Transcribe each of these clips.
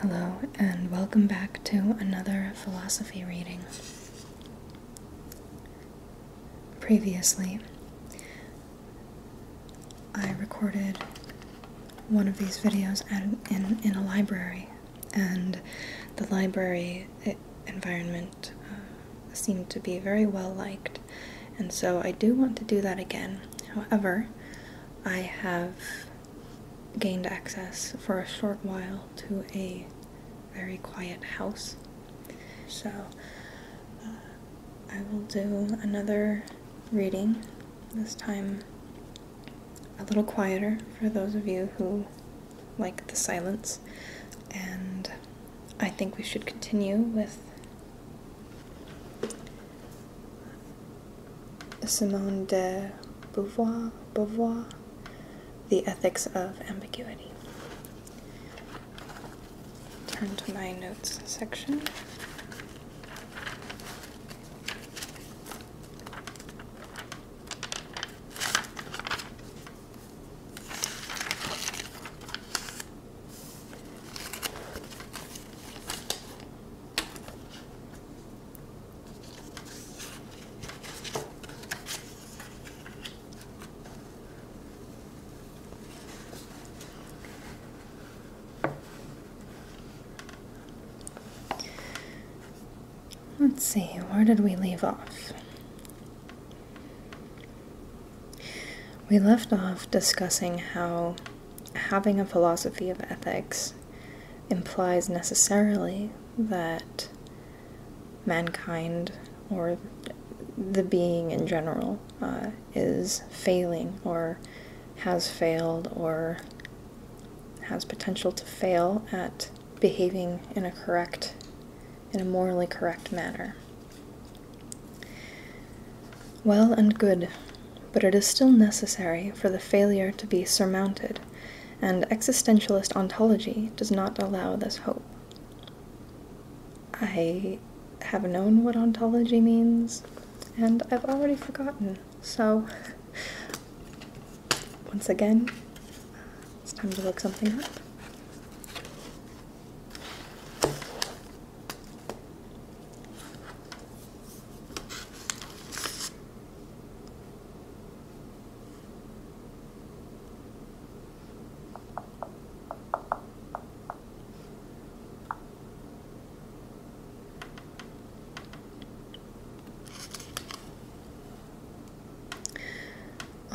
Hello, and welcome back to another philosophy reading. Previously, I recorded one of these videos in, in a library, and the library environment uh, seemed to be very well liked and so I do want to do that again. However, I have gained access for a short while to a very quiet house. So uh, I will do another reading, this time a little quieter for those of you who like the silence. And I think we should continue with Simone de Beauvoir, Beauvoir The Ethics of Ambiguity. Turn to my notes section. Let's see, where did we leave off? We left off discussing how having a philosophy of ethics implies necessarily that mankind or the being in general uh, is failing or has failed or has potential to fail at behaving in a correct, in a morally correct manner. Well and good, but it is still necessary for the failure to be surmounted, and existentialist ontology does not allow this hope. I have known what ontology means, and I've already forgotten, so once again, it's time to look something up.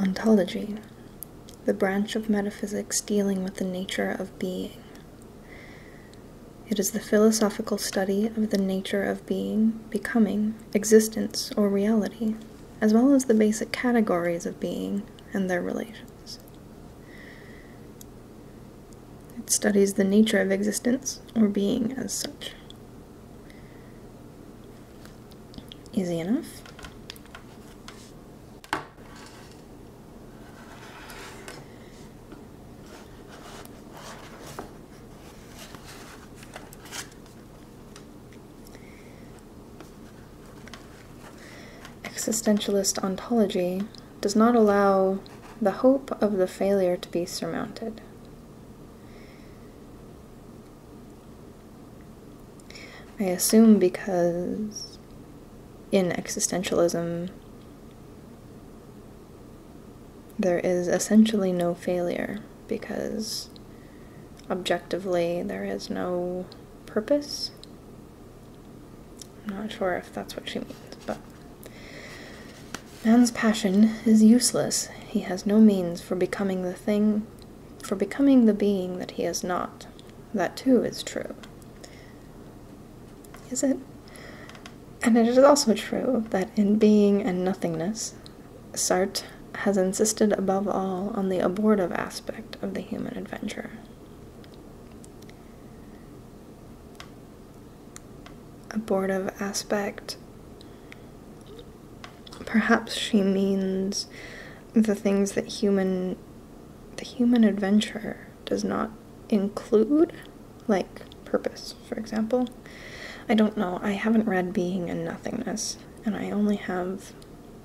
Ontology, the branch of metaphysics dealing with the nature of being. It is the philosophical study of the nature of being, becoming, existence, or reality, as well as the basic categories of being and their relations. It studies the nature of existence or being as such. Easy enough. Existentialist ontology does not allow the hope of the failure to be surmounted. I assume because in existentialism, there is essentially no failure because objectively there is no purpose. I'm not sure if that's what she means, but man's passion is useless. He has no means for becoming the thing, for becoming the being that he is not. That too is true. Is it? And it is also true that in being and nothingness, Sartre has insisted above all on the abortive aspect of the human adventure. Abortive aspect. Perhaps she means the things that human the human adventure does not include, like purpose, for example. I don't know, I haven't read Being and Nothingness, and I only have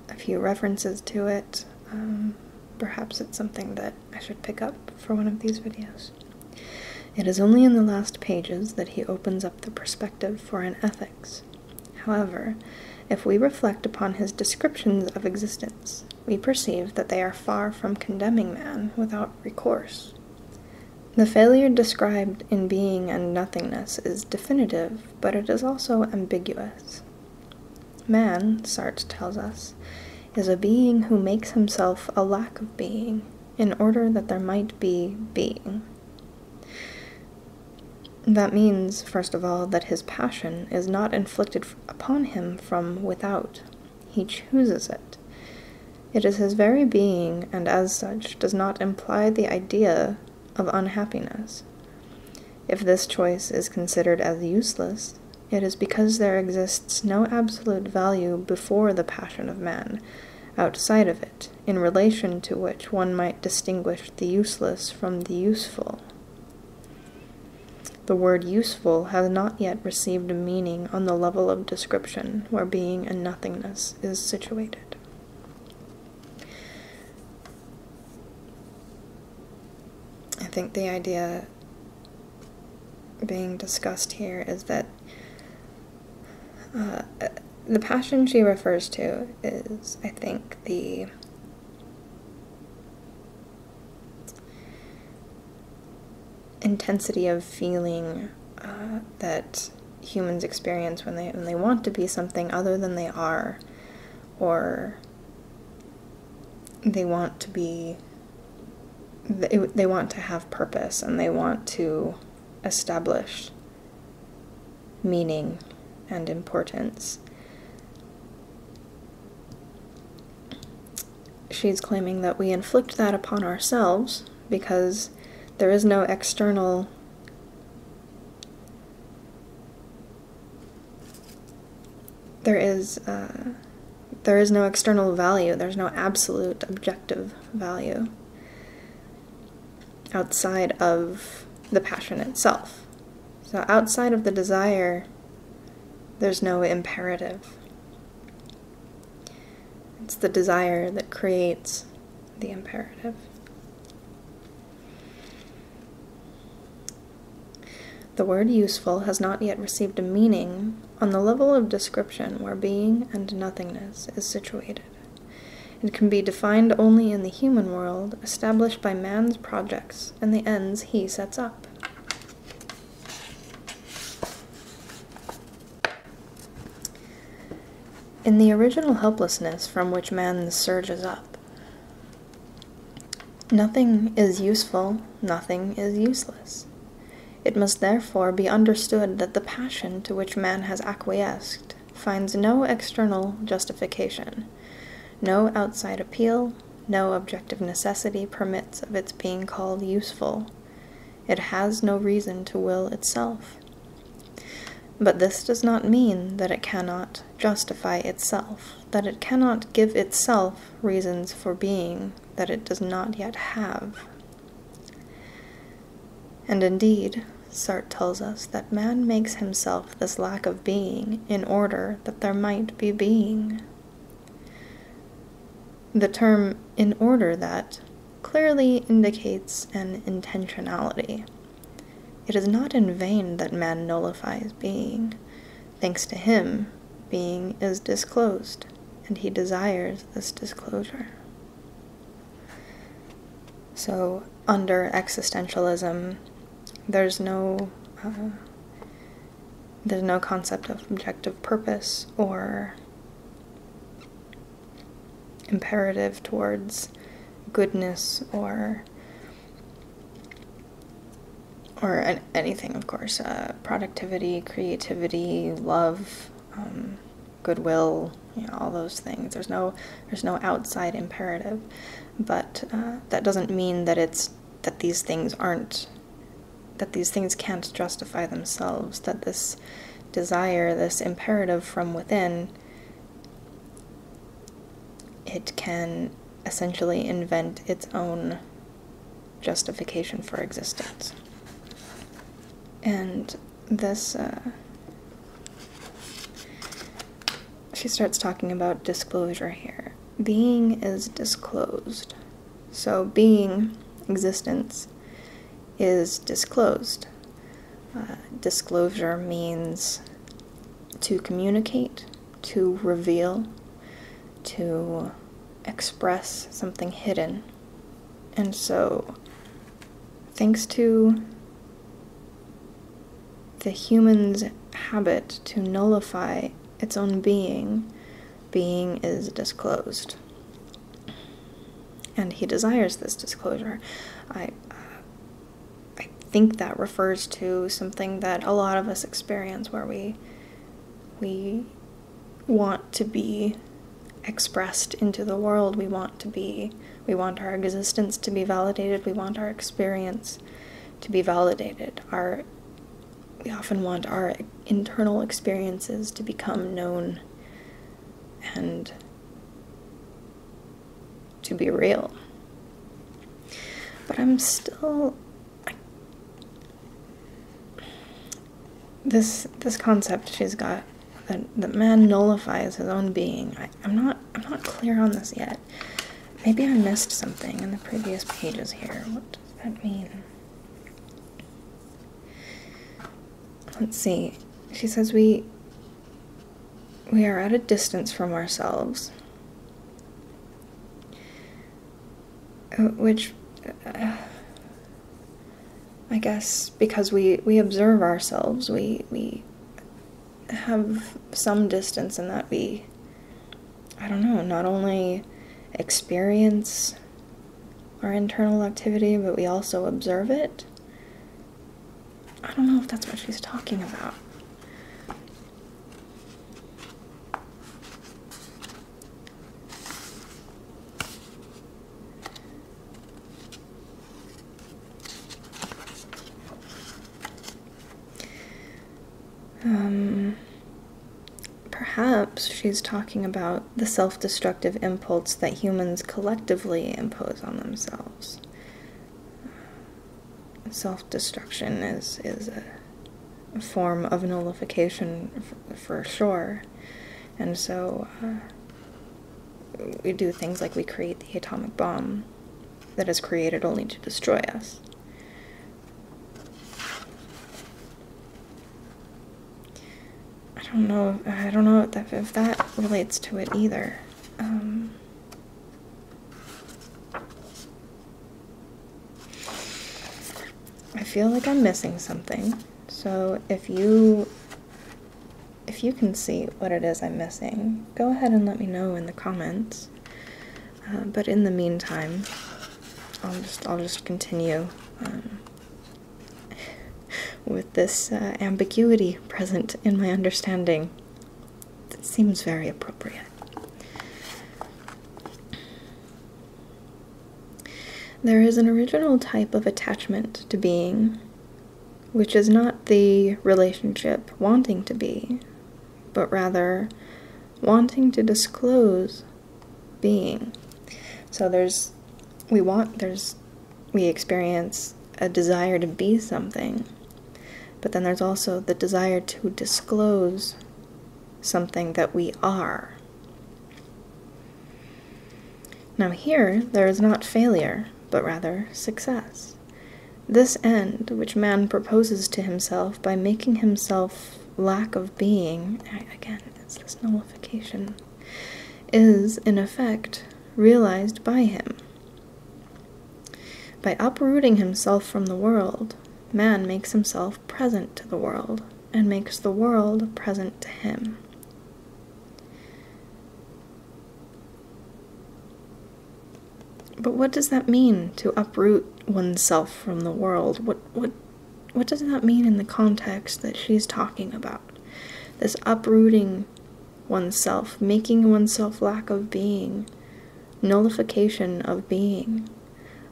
a few references to it. Um, perhaps it's something that I should pick up for one of these videos. It is only in the last pages that he opens up the perspective for an ethics. However, if we reflect upon his descriptions of existence, we perceive that they are far from condemning man without recourse. The failure described in being and nothingness is definitive, but it is also ambiguous. Man, Sartre tells us, is a being who makes himself a lack of being in order that there might be being. That means, first of all, that his passion is not inflicted upon him from without. He chooses it. It is his very being, and as such, does not imply the idea of unhappiness. If this choice is considered as useless, it is because there exists no absolute value before the passion of man, outside of it, in relation to which one might distinguish the useless from the useful. The word useful has not yet received a meaning on the level of description where being and nothingness is situated. I think the idea being discussed here is that uh, the passion she refers to is, I think, the intensity of feeling uh, that humans experience when they when they want to be something other than they are, or they want to be they want to have purpose and they want to establish meaning and importance she's claiming that we inflict that upon ourselves because there is no external there is uh, there is no external value there's no absolute objective value outside of the passion itself so outside of the desire there's no imperative. It's the desire that creates the imperative. The word useful has not yet received a meaning on the level of description where being and nothingness is situated. It can be defined only in the human world, established by man's projects and the ends he sets up. In the original helplessness from which man surges up, nothing is useful, nothing is useless. It must therefore be understood that the passion to which man has acquiesced finds no external justification, no outside appeal, no objective necessity permits of its being called useful. It has no reason to will itself. But this does not mean that it cannot justify itself, that it cannot give itself reasons for being that it does not yet have. And indeed, Sartre tells us that man makes himself this lack of being in order that there might be being. The term in order that clearly indicates an intentionality. It is not in vain that man nullifies being. Thanks to him, being is disclosed, and he desires this disclosure. So, under existentialism, there's no uh, there's no concept of objective purpose or imperative towards goodness or or anything, of course, uh, productivity, creativity, love, um, goodwill, all those things. There's no there's no outside imperative, but uh, that doesn't mean that it's that these things aren't that these things can't justify themselves, that this desire, this imperative from within, it can essentially invent its own justification for existence. And this, uh, she starts talking about disclosure here being is disclosed. So, being, existence, is disclosed. Uh, disclosure means to communicate, to reveal, to express something hidden. And so, thanks to the human's habit to nullify its own being, being is disclosed. And he desires this disclosure. I, uh, I think that refers to something that a lot of us experience where we, we want to be expressed into the world. We want to be, we want our existence to be validated. We want our experience to be validated. Our we often want our internal experiences to become known and to be real. But I'm still this this concept she's got that that man nullifies his own being. I, am not I'm not clear on this yet. Maybe I missed something in the previous pages here that mean? Let's see. She says we we are at a distance from ourselves. Uh, which uh, I guess because we we observe ourselves, we we have some distance in that we I don't know, not only experience our internal activity, but we also observe it. I don't know if that's what she's talking about. Um, perhaps she's talking about the self destructive impulse that humans collectively impose on themselves. Self destruction is, is a form of nullification for sure. And so uh, we do things like we create the atomic bomb that is created only to destroy us. I don't know. I don't know if, that relates to it either. Um, I feel like I'm missing something. So if you if you can see what it is I'm missing, go ahead and let me know in the comments. Uh, but in the meantime, I'll just I'll just continue um, with this uh, ambiguity present in my understanding. It seems very appropriate. There is an original type of attachment to being, which is not the relationship wanting to be, but rather wanting to disclose being. So there's, we want, there's, we experience a desire to be something, but then there's also the desire to disclose something that we are. Now, here there is not failure, but rather success. This end, which man proposes to himself by making himself lack of being, again, it's this nullification, is in effect realized by him. By uprooting himself from the world, man makes himself present to the world and makes the world present to him. But what does that mean to uproot oneself from the world? What what what does that mean in the context that she's talking about? This uprooting oneself, making oneself lack of being, nullification of being.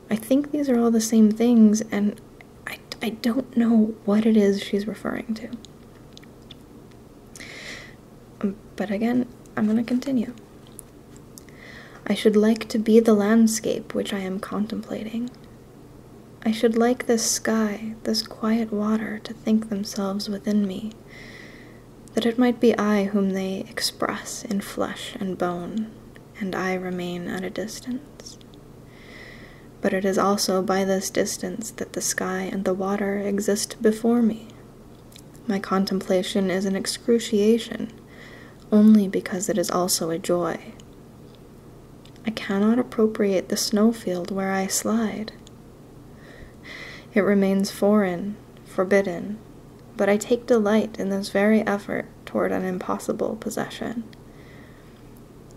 I think these are all the same things, and I, I don't know what it is she's referring to. Um, but again, I'm going to continue. I should like to be the landscape which I am contemplating. I should like this sky, this quiet water, to think themselves within me, that it might be I whom they express in flesh and bone, and I remain at a distance. But it is also by this distance that the sky and the water exist before me. My contemplation is an excruciation, only because it is also a joy. I cannot appropriate the snowfield where I slide. It remains foreign, forbidden, but I take delight in this very effort toward an impossible possession.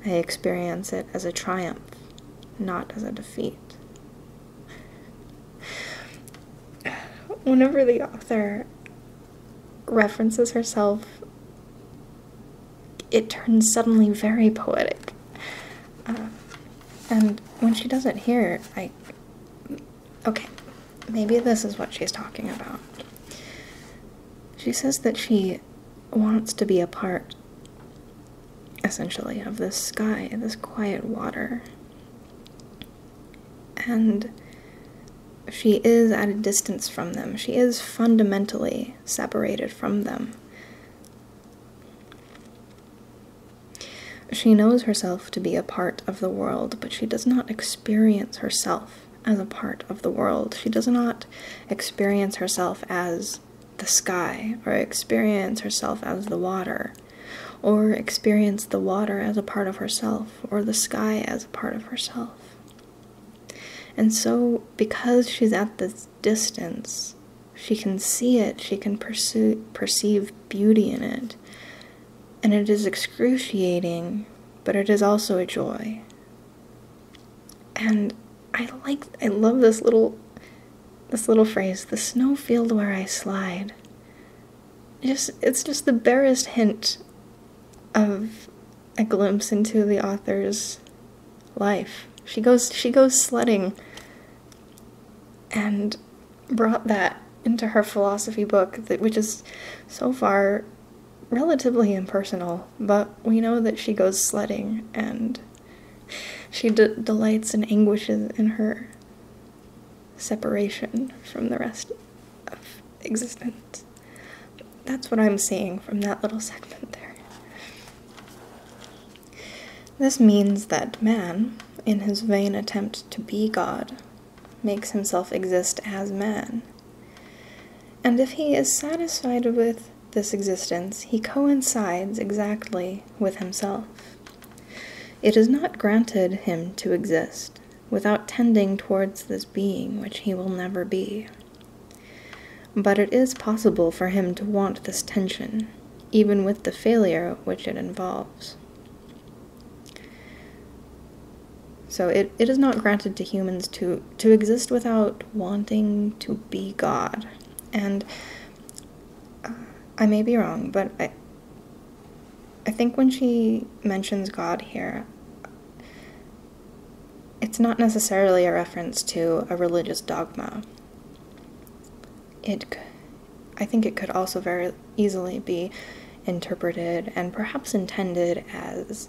I experience it as a triumph, not as a defeat. Whenever the author references herself, it turns suddenly very poetic. Uh, and when she does it here, I. Okay, maybe this is what she's talking about. She says that she wants to be a part, essentially, of this sky, this quiet water. And she is at a distance from them. She is fundamentally separated from them. She knows herself to be a part of the world, but she does not experience herself as a part of the world. She does not experience herself as the sky, or experience herself as the water, or experience the water as a part of herself or the sky as a part of herself. And so, because she's at this distance, she can see it, she can perceive beauty in it. And it is excruciating, but it is also a joy. And I like I love this little this little phrase, the snow field where I slide just it's just the barest hint of a glimpse into the author's life. She goes she goes sledding and brought that into her philosophy book that which is so far relatively impersonal, but we know that she goes sledding and she delights and anguishes in her separation from the rest of existence. That's what I'm seeing from that little segment there. This means that man, in his vain attempt to be God, makes himself exist as man. And if he is satisfied with this existence, he coincides exactly with himself. It is not granted him to exist, without tending towards this being which he will never be. But it is possible for him to want this tension, even with the failure which it involves. So it is not granted to humans to, to exist without wanting to be God. And uh, I may be wrong, but I, I think when she mentions God here, it's not necessarily a reference to a religious dogma. It, I think, it could also very easily be interpreted and perhaps intended as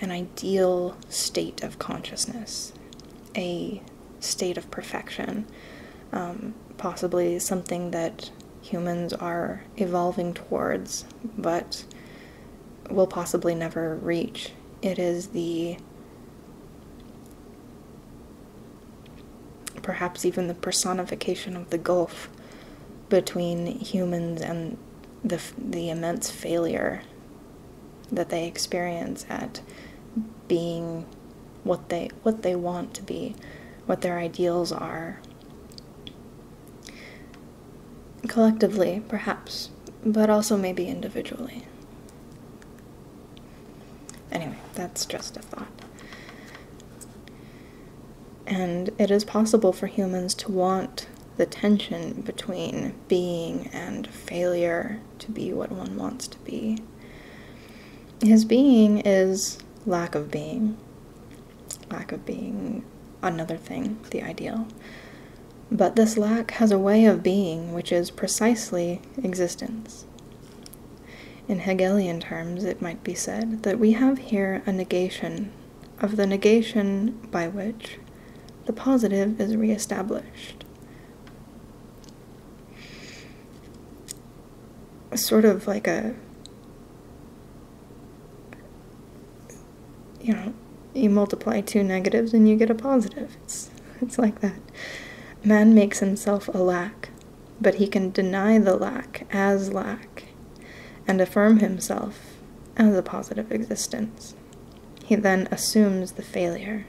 an ideal state of consciousness, a state of perfection, um, possibly something that humans are evolving towards, but will possibly never reach. It is the perhaps even the personification of the gulf between humans and the, the immense failure that they experience at being what they what they want to be, what their ideals are, Collectively, perhaps, but also maybe individually. Anyway, that's just a thought. And it is possible for humans to want the tension between being and failure to be what one wants to be. His being is lack of being, lack of being another thing, the ideal. But this lack has a way of being which is precisely existence. In Hegelian terms, it might be said that we have here a negation of the negation by which the positive is re reestablished. Sort of like a you know, you multiply two negatives and you get a positive. It's, it's like that. Man makes himself a lack, but he can deny the lack as lack and affirm himself as a positive existence. He then assumes the failure,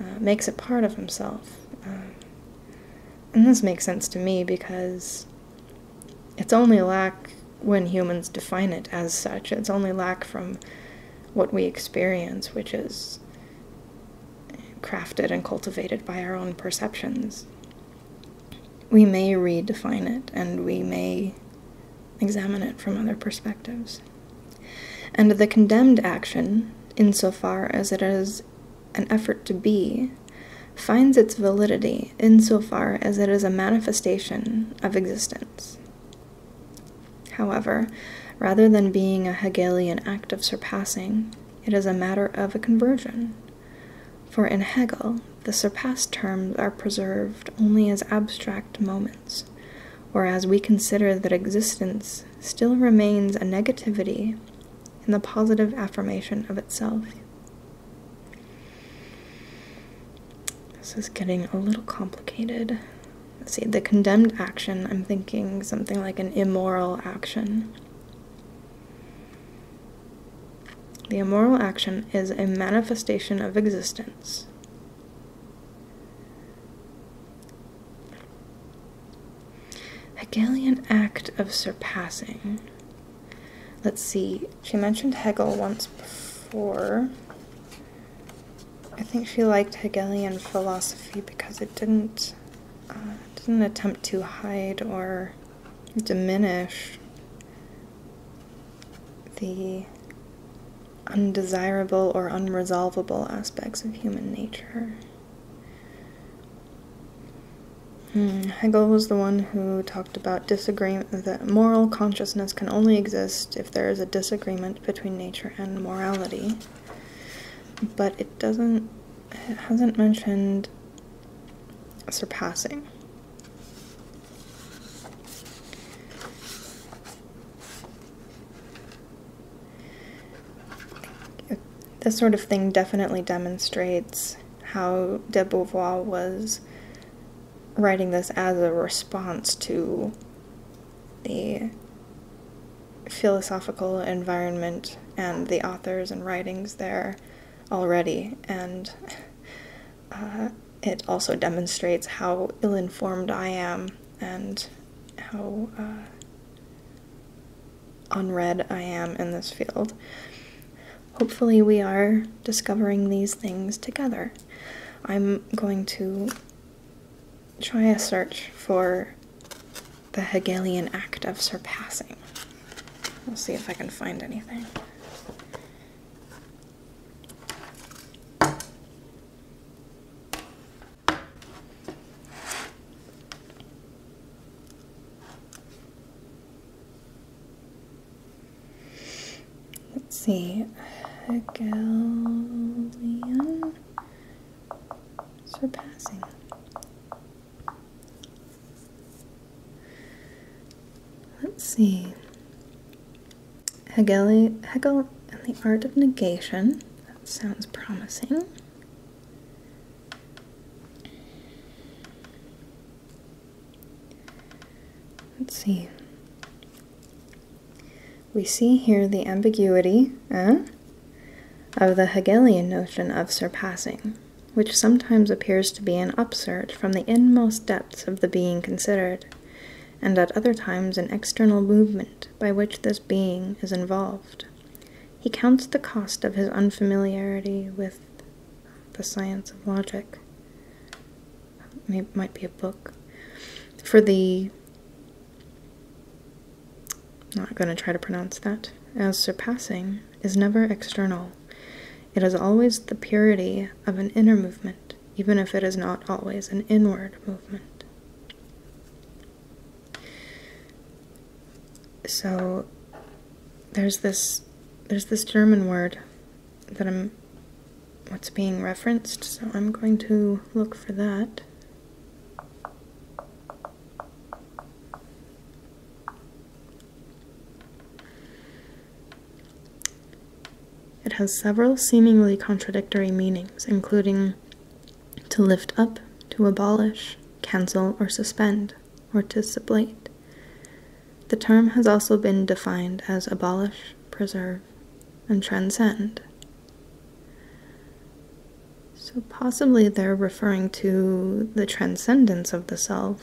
uh, makes it part of himself. Um, and this makes sense to me because it's only lack when humans define it as such. It's only lack from what we experience, which is crafted and cultivated by our own perceptions. We may redefine it and we may examine it from other perspectives. And the condemned action, insofar as it is an effort to be finds its validity in so far as it is a manifestation of existence. However, rather than being a Hegelian act of surpassing, it is a matter of a conversion. For in Hegel, the surpassed terms are preserved only as abstract moments, whereas we consider that existence still remains a negativity in the positive affirmation of itself. This is getting a little complicated. Let's see, the condemned action, I'm thinking something like an immoral action. The immoral action is a manifestation of existence. Hegelian act of surpassing. Let's see, she mentioned Hegel once before. I think she liked Hegelian philosophy because it didn't uh, didn't attempt to hide or diminish the undesirable or unresolvable aspects of human nature. Hmm, Hegel was the one who talked about disagreement that moral consciousness can only exist if there is a disagreement between nature and morality. But it doesn't it hasn't mentioned surpassing. This sort of thing definitely demonstrates how de Beauvoir was writing this as a response to the philosophical environment and the authors and writings there already, and uh, it also demonstrates how ill informed I am and how uh, unread I am in this field hopefully, we are discovering these things together. I'm going to try a search for the Hegelian act of surpassing. We'll see if I can find anything. Let's see, Hegelian surpassing. Let's see, Hegel, Hegel and the Art of Negation. That sounds promising. Let's see. We see here the ambiguity uh, of the Hegelian notion of surpassing, which sometimes appears to be an upsurge from the inmost depths of the being considered, and at other times an external movement by which this being is involved. He counts the cost of his unfamiliarity with the Science of Logic. it might be a book. For the. Not going to try to pronounce that. As surpassing is never external. It is always the purity of an inner movement, even if it is not always an inward movement. So there's this there's this German word that I'm what's being referenced, so I'm going to look for that. It has several seemingly contradictory meanings, including to lift up, to abolish, cancel, or suspend or to sublate. The term has also been defined as abolish, preserve, and transcend. So possibly they're referring to the transcendence of the self.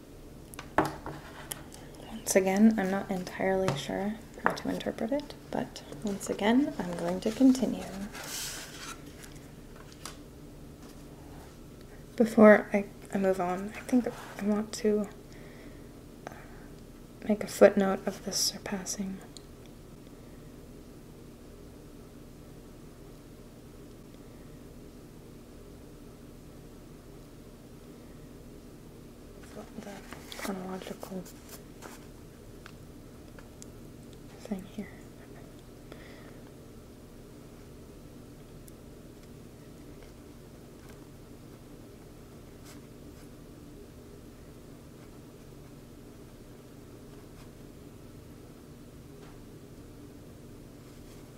Once again, I'm not entirely sure how to interpret it, but once again, I'm going to continue. Before I, I move on, I think I want to uh, make a footnote of this surpassing. So the chronological thing here.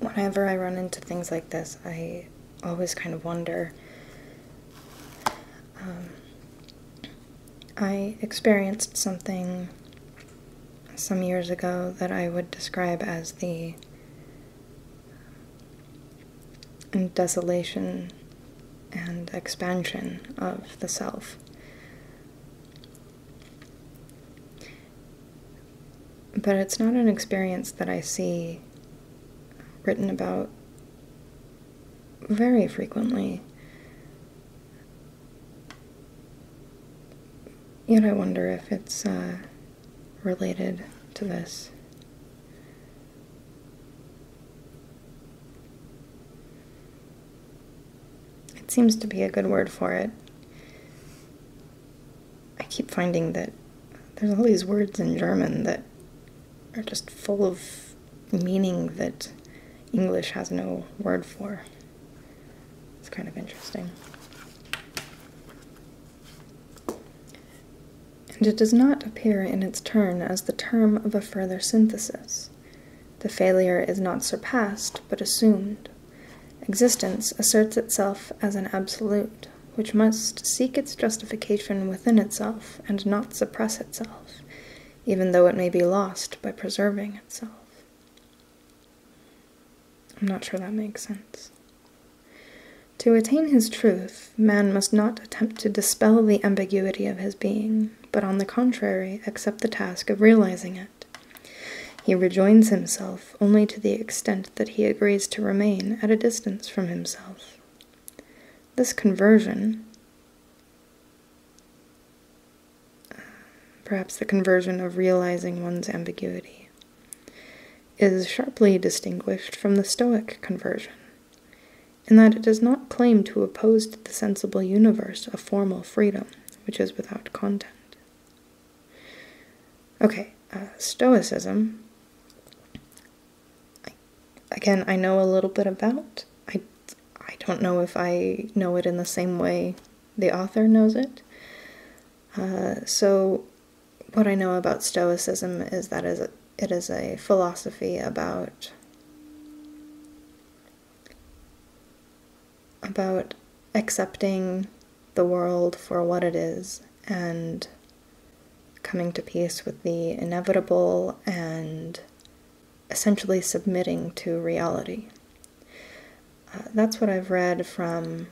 Whenever I run into things like this, I always kind of wonder. Um, I experienced something some years ago that I would describe as the desolation and expansion of the self. But it's not an experience that I see written about very frequently. Yet I wonder if it's uh, related to this. It seems to be a good word for it. I keep finding that there's all these words in German that are just full of meaning that English has no word for. It's kind of interesting. And it does not appear in its turn as the term of a further synthesis. The failure is not surpassed, but assumed. Existence asserts itself as an absolute, which must seek its justification within itself and not suppress itself, even though it may be lost by preserving itself. I'm not sure that makes sense. To attain his truth, man must not attempt to dispel the ambiguity of his being, but on the contrary, accept the task of realizing it. He rejoins himself only to the extent that he agrees to remain at a distance from himself. This conversion, perhaps the conversion of realizing one's ambiguity, is sharply distinguished from the Stoic conversion and that it does not claim to oppose to the sensible universe a formal freedom which is without content. Okay, uh, Stoicism. again, I know a little bit about. I, I don't know if I know it in the same way the author knows it. Uh, so, what I know about Stoicism is that it is a philosophy about about accepting the world for what it is and coming to peace with the inevitable and essentially submitting to reality. Uh, that's what I've read from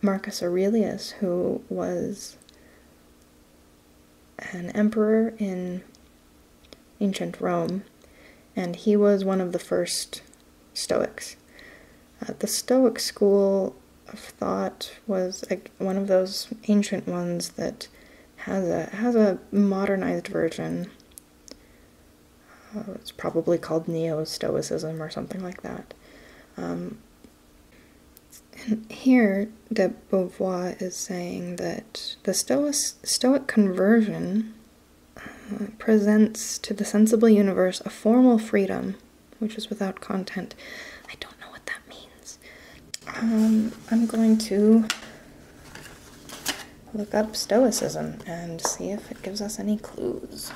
Marcus Aurelius, who was an emperor in ancient Rome, and he was one of the first Stoics. Uh, the Stoic school of thought was one of those ancient ones that has a has a modernized version. Uh, it's probably called Neo Stoicism or something like that. Um, and here, de Beauvoir is saying that the Stoic, Stoic conversion uh, presents to the sensible universe a formal freedom which is without content. I don't know what that means. Um, I'm going to look up Stoicism and see if it gives us any clues.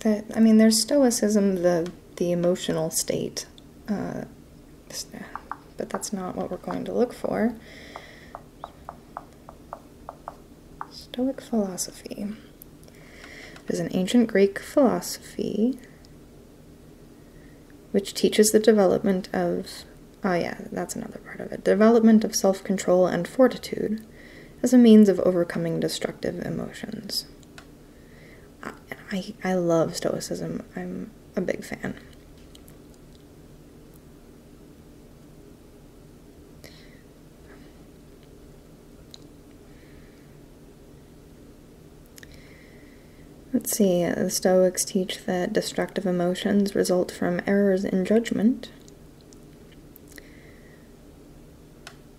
That I mean, there's Stoicism, the the emotional state, uh, but that's not what we're going to look for. Stoic philosophy is an ancient Greek philosophy which teaches the development of Oh yeah, that's another part of it. Development of self control and fortitude as a means of overcoming destructive emotions. I, I love Stoicism, I'm a big fan. Let's see, the uh, Stoics teach that destructive emotions result from errors in judgment,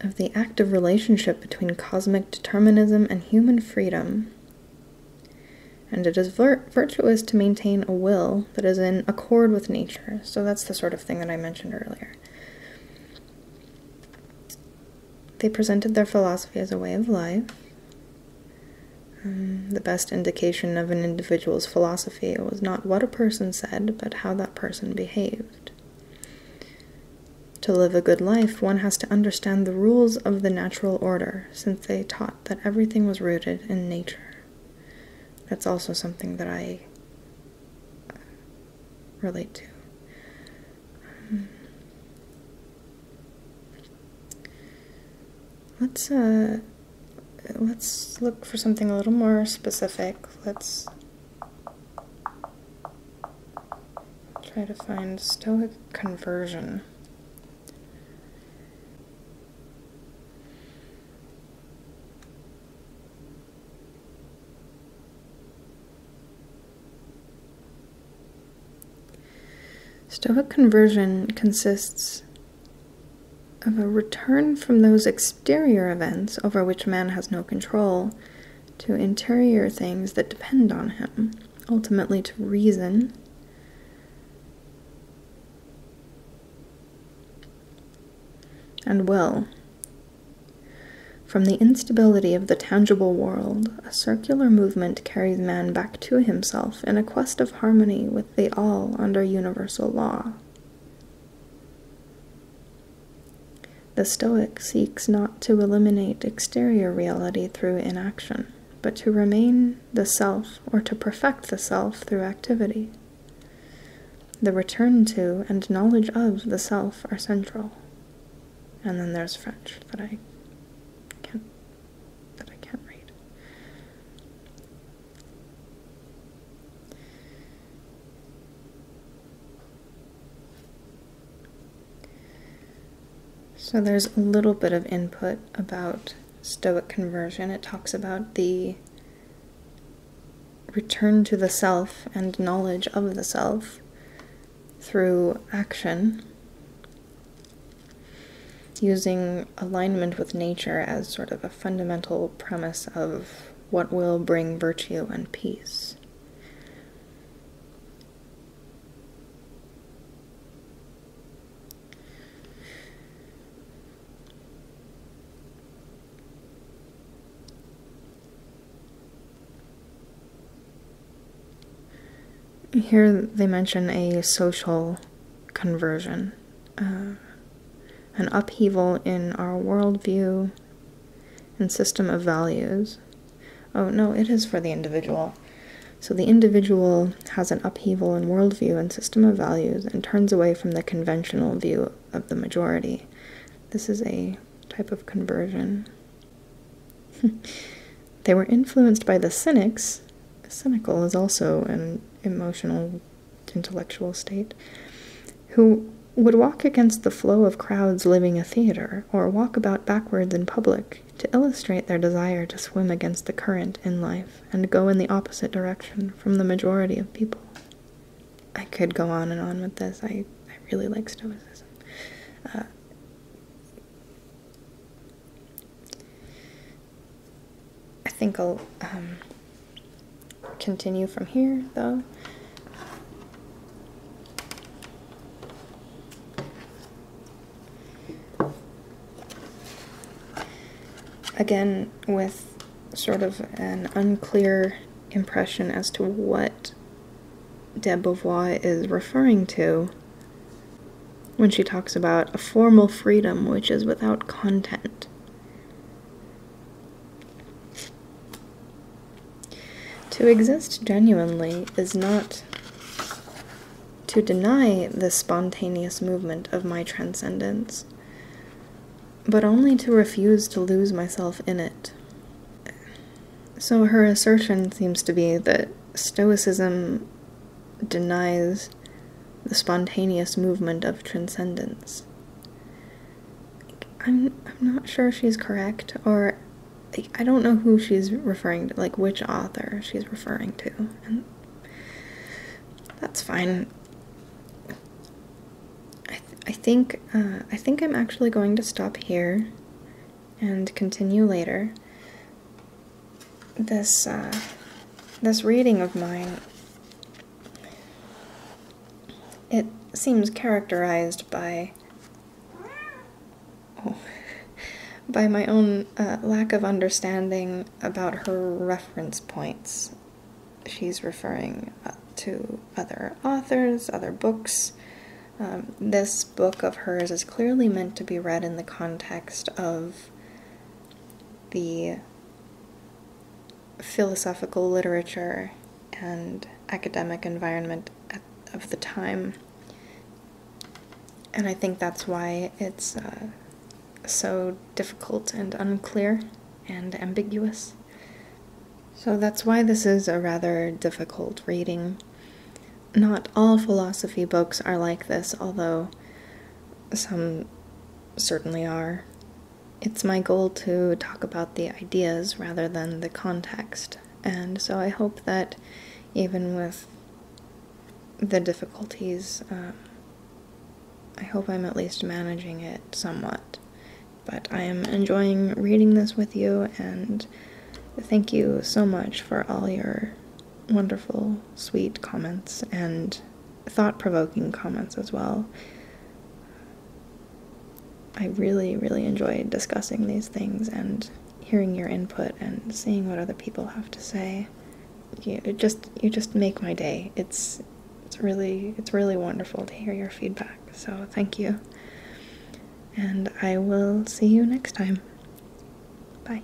of the active relationship between cosmic determinism and human freedom. And it is virtuous to maintain a will that is in accord with nature. So that's the sort of thing that I mentioned earlier. They presented their philosophy as a way of life, um, the best indication of an individual's philosophy was not what a person said, but how that person behaved. To live a good life, one has to understand the rules of the natural order, since they taught that everything was rooted in nature. That's also something that I uh, relate to. Um, Let's uh let's look for something a little more specific. Let's try to find stoic conversion. Stoic conversion consists of a return from those exterior events over which man has no control to interior things that depend on him, ultimately to reason. And will. From the instability of the tangible world, a circular movement carries man back to himself in a quest of harmony with. They all under universal law. The Stoic seeks not to eliminate exterior reality through inaction, but to remain the self or to perfect the self through activity. The return to and knowledge of the self are central. And then there's French that I can't that I can't read. So there's a little bit of input about Stoic conversion. It talks about the return to the self and knowledge of the self through action using alignment with nature as sort of a fundamental premise of what will bring virtue and peace. Here they mention a social conversion. Uh, an upheaval in our worldview and system of values. Oh, no, it is for the individual. So the individual has an upheaval in worldview and system of values and turns away from the conventional view of the majority. This is a type of conversion. they were influenced by the cynics. Cynical is also an emotional, intellectual state, who would walk against the flow of crowds living a theater, or walk about backwards in public to illustrate their desire to swim against the current in life and go in the opposite direction from the majority of people. I could go on and on with this. I, I really like Stoicism. Uh, I think I'll um, continue from here though. Again, with sort of an unclear impression as to what de Beauvoir is referring to, when she talks about a formal freedom which is without content. To exist genuinely is not to deny the spontaneous movement of my transcendence, but only to refuse to lose myself in it. So her assertion seems to be that Stoicism denies the spontaneous movement of transcendence. I'm I'm not sure she's correct or I don't know who she's referring to, like which author she's referring to. that's fine. I, I think uh, I think I'm actually going to stop here and continue later this uh, this reading of mine it seems characterized by oh, by my own uh, lack of understanding about her reference points. She's referring uh, to other authors, other books. Um, this book of hers is clearly meant to be read in the context of the philosophical literature and academic environment of the time. And I think that's why it's uh, so difficult and unclear and ambiguous. So that's why this is a rather difficult reading. Not all philosophy books are like this, although some certainly are. It's my goal to talk about the ideas rather than the context, and so I hope that even with the difficulties, um, I hope I'm at least managing it somewhat. But I am enjoying reading this with you, and thank you so much for all your wonderful, sweet comments and thought provoking comments as well. I really, really enjoy discussing these things and hearing your input and seeing what other people have to say. You just you just make my day. It's it's really it's really wonderful to hear your feedback. So thank you. And I will see you next time. Bye.